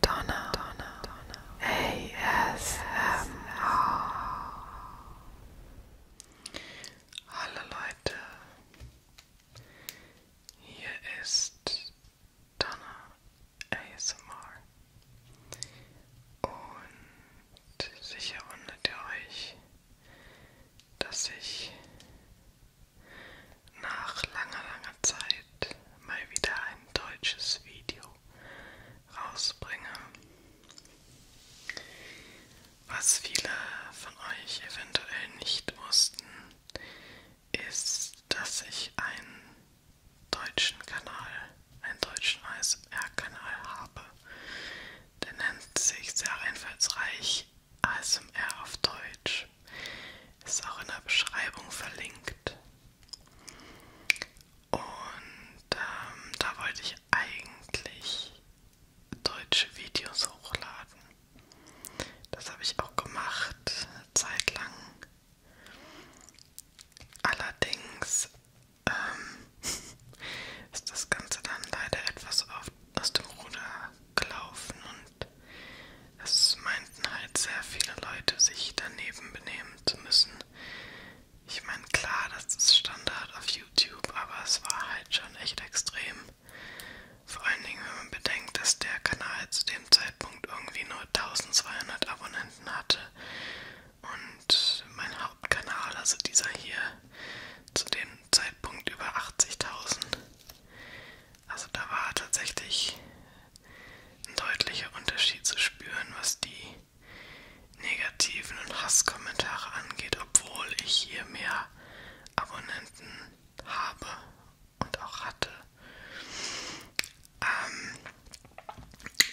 Donna, Donna, Donna. ASMR. Hallo Leute, hier ist Donna ASMR und sicher wundert ihr euch, dass ich nach langer, langer Zeit mal wieder ein deutsches Video rausbringe, was viele von euch eventuell nicht wussten, ist, dass ich einen deutschen Kanal, einen deutschen ASMR-Kanal habe. Der nennt sich sehr einfallsreich ASMR auf Deutsch. Ist auch in der Beschreibung verlinkt. Und ähm, da wollte ich eigentlich deutsche Videos hochladen. Das habe ich auch gemacht, zeitlang. Allerdings ähm, ist das Ganze dann leider etwas auf, aus dem Ruder gelaufen und es meinten halt sehr viele Leute, sich daneben benehmen zu müssen. Ich meine, klar, das ist Standard auf YouTube, aber es war halt schon echt extrem. Vor allen Dingen, wenn man bedenkt, dass der Kanal zu dem Zeitpunkt irgendwie nur 1200 Abonnenten hatte und mein Hauptkanal, also dieser hier, zu dem Zeitpunkt über 80.000. Also da war tatsächlich ein deutlicher Unterschied zu spüren, was die negativen und Hasskommentare angeht, obwohl ich hier mehr Abonnenten habe und auch hatte. Ähm,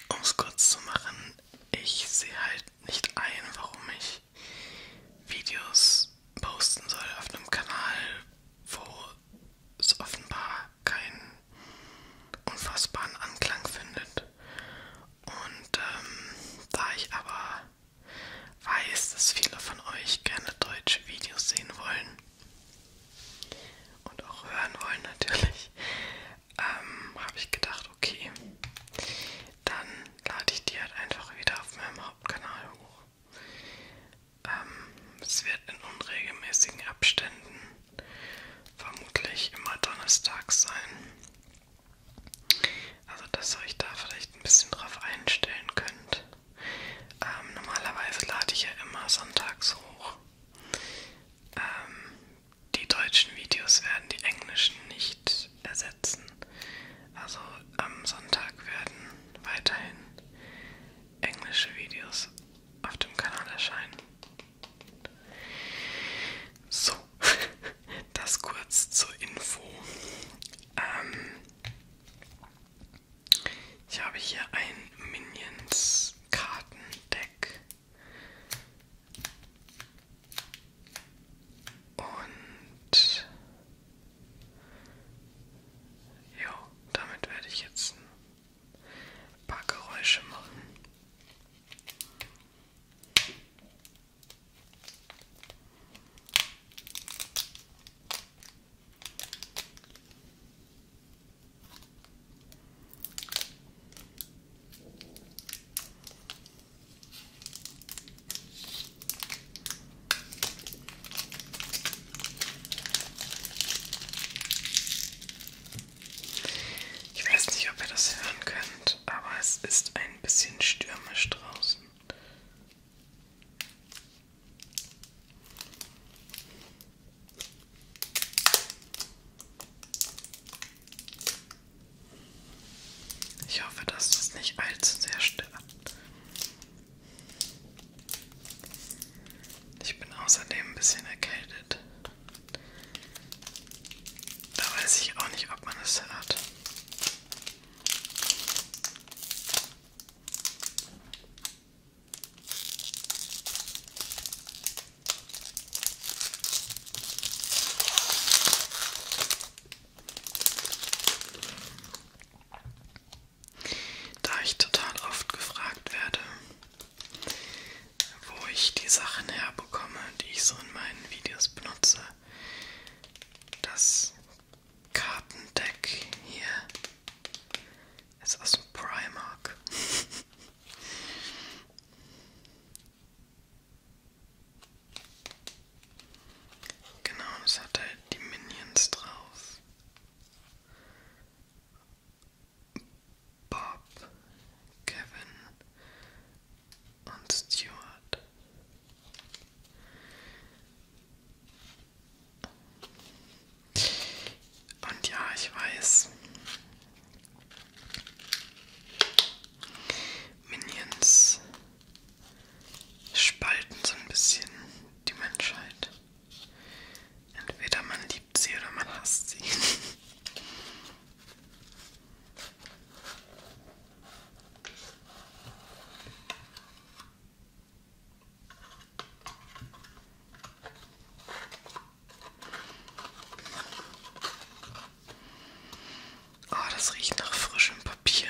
um es kurz zu machen, ich sehe halt nicht ein, warum ich Videos posten soll auf einem Kanal, wo jedoch es offenbar keinen unfassbaren Anklang findet. Und ähm, da ich aber weiß, dass viele von euch gerne deutsche Videos sehen wollen und auch hören wollen natürlich, ähm, habe ich gedacht, okay, dann lade ich die halt einfach wieder auf meinem Hauptkanal hoch. Ähm, es wird in unregelmäßigen Abständen vermutlich immer donnerstags sein. Also, dass ihr euch da vielleicht ein bisschen drauf einstellen könnt. Ähm, normalerweise lade ich ja immer sonntags hoch. Ähm, die deutschen Videos werden die englischen nicht ersetzen. Also am Sonntag werden weiterhin englische Videos auf dem Kanal erscheinen. So, das kurz zur Info. Ähm, ich habe hier ein Minions Kartendeck und ja, damit werde ich jetzt ein paar Geräusche machen. Ich weiß nicht, ob ihr das hören könnt, aber es ist ein bisschen stürmisch draußen. Ich hoffe, dass das nicht allzu sehr stört. Ich bin außerdem ein bisschen erkältet. Da weiß ich auch nicht, ob man es hört. Da ich total oft gefragt werde, wo ich die Sachen herbekomme, die ich so in meinen Videos benutze, das Kartendeck hier ist aus dem Primark. genau, das hat halt die Minions drauf. Bob, Kevin und Stuart. Und ja, ich weiß. Minions spalten so ein bisschen die Menschheit. Entweder man liebt sie oder man hasst sie. Oh, das riecht nach frischem Papier.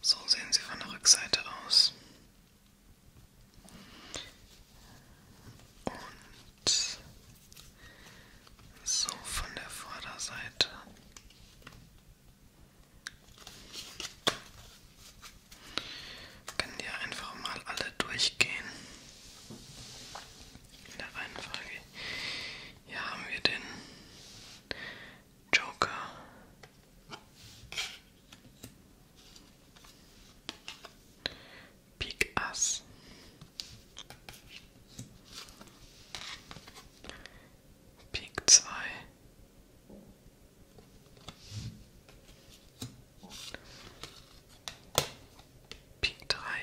So sehen sie von der Rückseite aus. Und so von der Vorderseite. Können die einfach mal alle durchgehen. In der Reihenfolge. Hier haben wir den Joker. Pik Ass. Pik 2. Pik 3.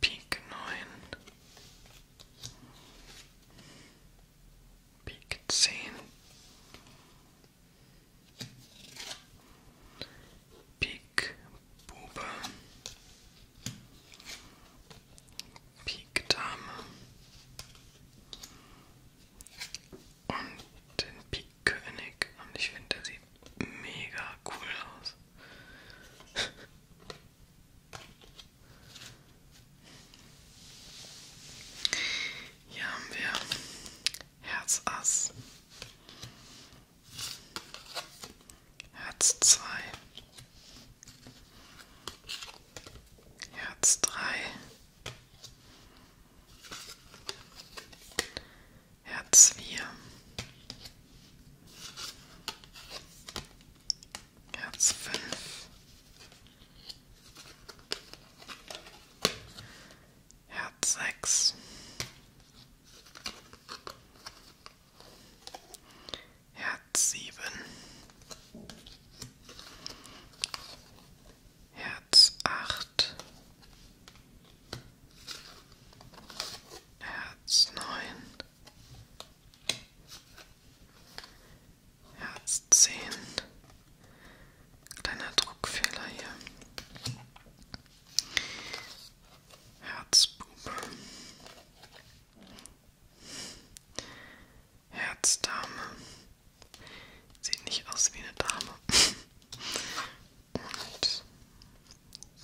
Pik 9, Pik 10, Pik Bube, Pik Dame und den Pik König und ich finde, der sieht mega cool aus. Hier haben wir Herz Ass, Herz 2, Herz 3, Herz vier, Herz fünf, Herz sechs, Herz sieben, Herz acht, Herz neun, Herz zehn. Kleiner Druckfehler hier. Herzbube. Herzdame. Sieht nicht aus wie eine Dame. und halt.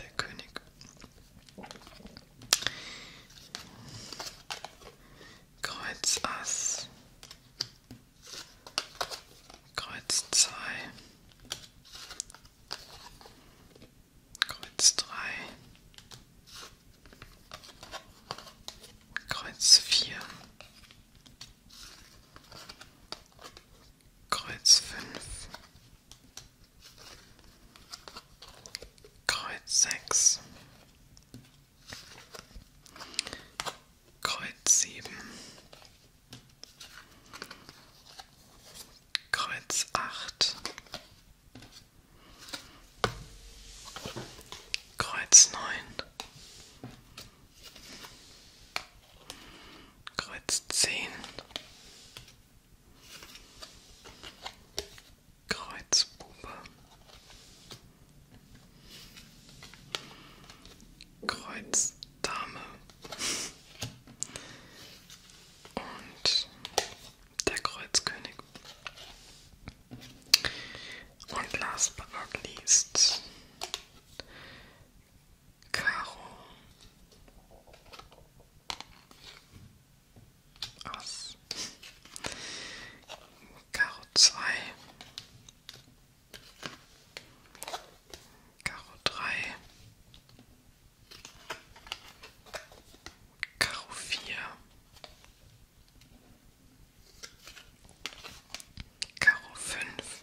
der König. Kreuz Ass, Kreuz 2, Kreuz 3, Kreuz 4, Kreuz fünf, Kreuz sechs, Kreuz sieben, Kreuz acht, Kreuz neun, Kreuz zehn, Kreuz Bube, Kreuz Dame und der Kreuzkönig. Und last but not least Karo Ass. Karo 2. Karo 3. Karo 4. Karo 5.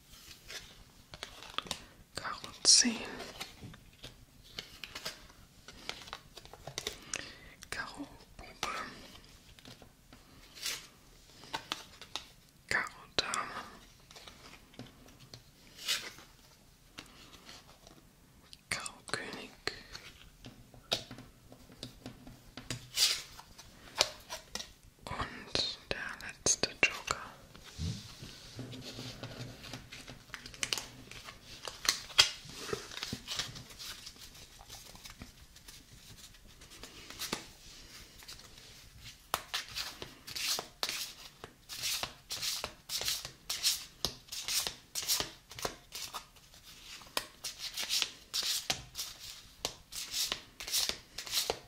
Karotin. Karo Bube. Karo Dame. Karo König. Und der letzte Joker.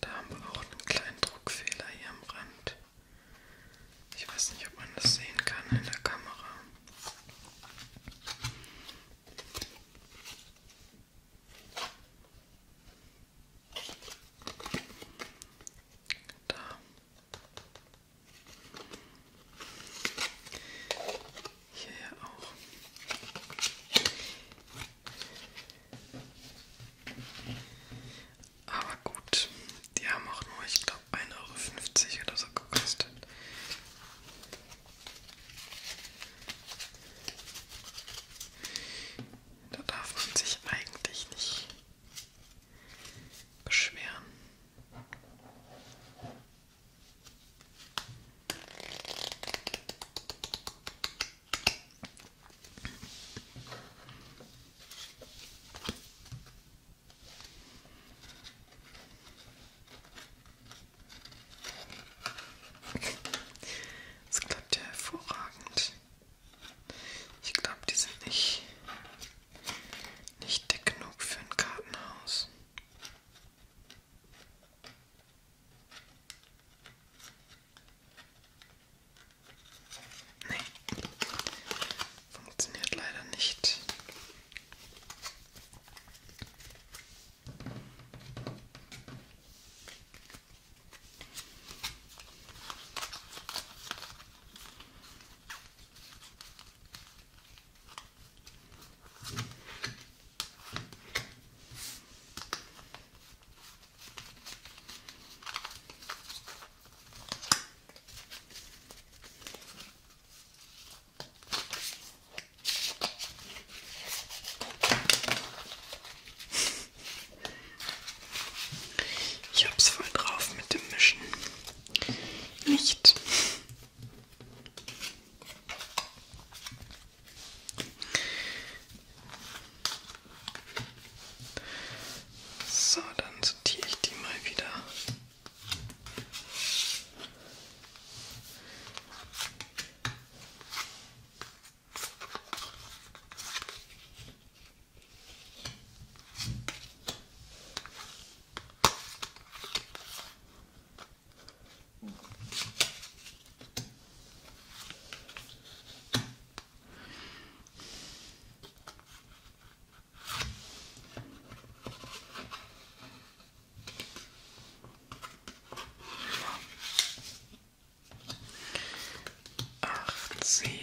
Da haben wir auch einen kleinen Druckfehler hier am Rand. Ich weiß nicht, ob man das sehen kann in der Kamera. Da. Hierher auch. Aber gut, die haben auch nur, ich glaube, 1,50 Euro oder so gekostet. Da darf man sich eigentlich nicht beschweren. Das klappt ja hervorragend. Ich glaube, die sind nicht, nicht dick genug für ein Kartenhaus. Nee. Funktioniert leider nicht. Ich hab's voll drauf mit dem Mischen. Nicht. So, dann sortiere ich die mal wieder. Acht, sieben,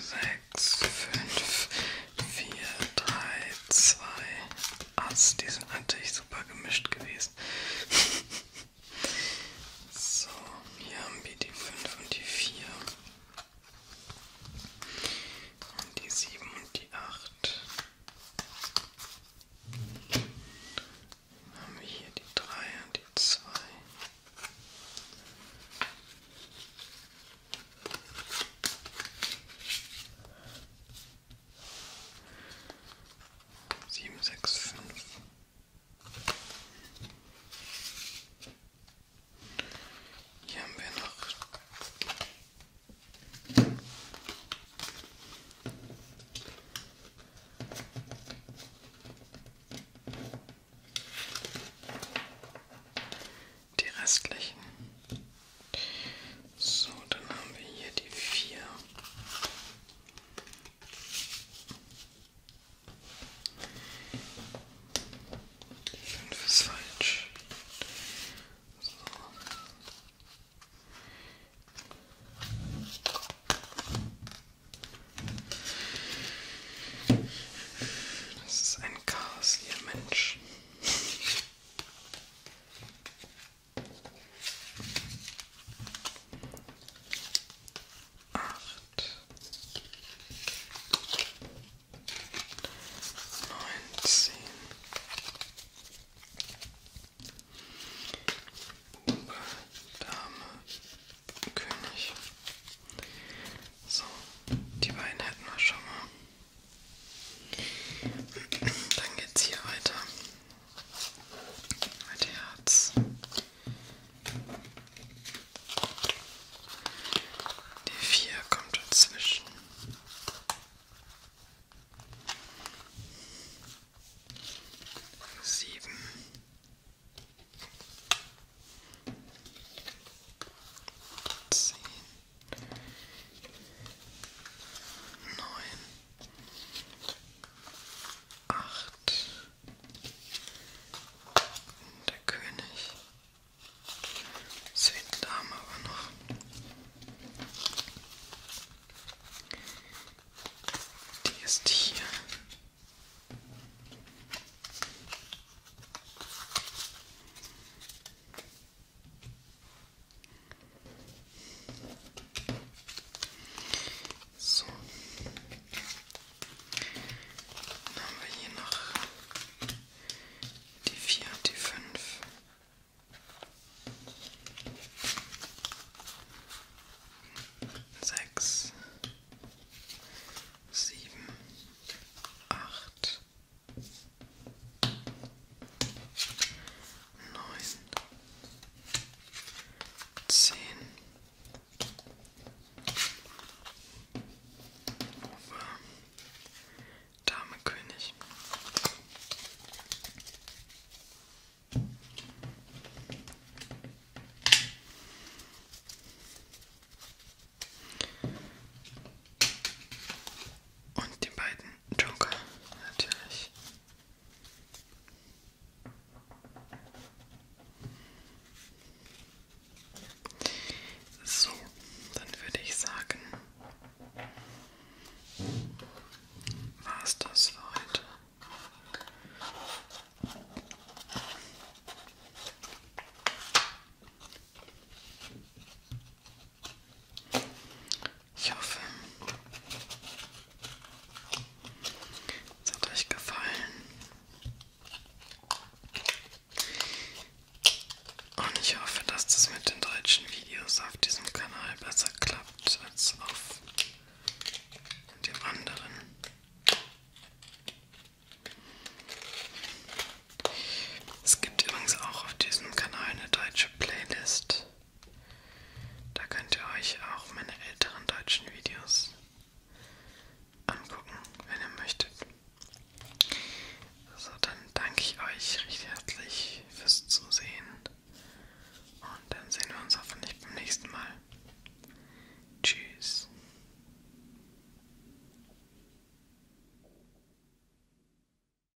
sechs, fünf, vier, drei, zwei. Ass, die sind natürlich super gemischt gewesen. so, hier haben wir die 5 und die 4. Und die 7 und die 8. Dann haben wir hier die 3 und die 2. Sieben, sechs, fünf. Hier haben wir noch die restlichen. So, dann haben wir hier die vier. Die fünf ist falsch. So. Das ist ein Chaos, ihr Mensch acht, neunzehn. Bube, Dame, König. So, die beiden hätten wir schon mal. Dann geht's hier weiter. Mit Herz. Die 4 kommt dazwischen. Sieben. Zehn neun, acht, der König, zweite Dame aber noch. Die ist hier. So. Dann haben wir hier noch die vier und die fünf. Sechs, sieben, acht, neun, zehn, Ober, Dame König. Und die beiden Joker, natürlich. So, dann würde ich sagen, war es das für heute. Ich hoffe, es hat euch gefallen. Und ich hoffe, dass das mit den deutschen Videos auf diesem Kanal besser klappt als auf dem anderen. Es gibt übrigens auch auf diesem Kanal eine deutsche Playlist da könnt ihr euch auch meine älteren deutschen Videos angucken, wenn ihr möchtet. So, dann danke ich euch recht herzlich fürs Zusehen. Und dann sehen wir uns hoffentlich beim nächsten Mal. Tschüss.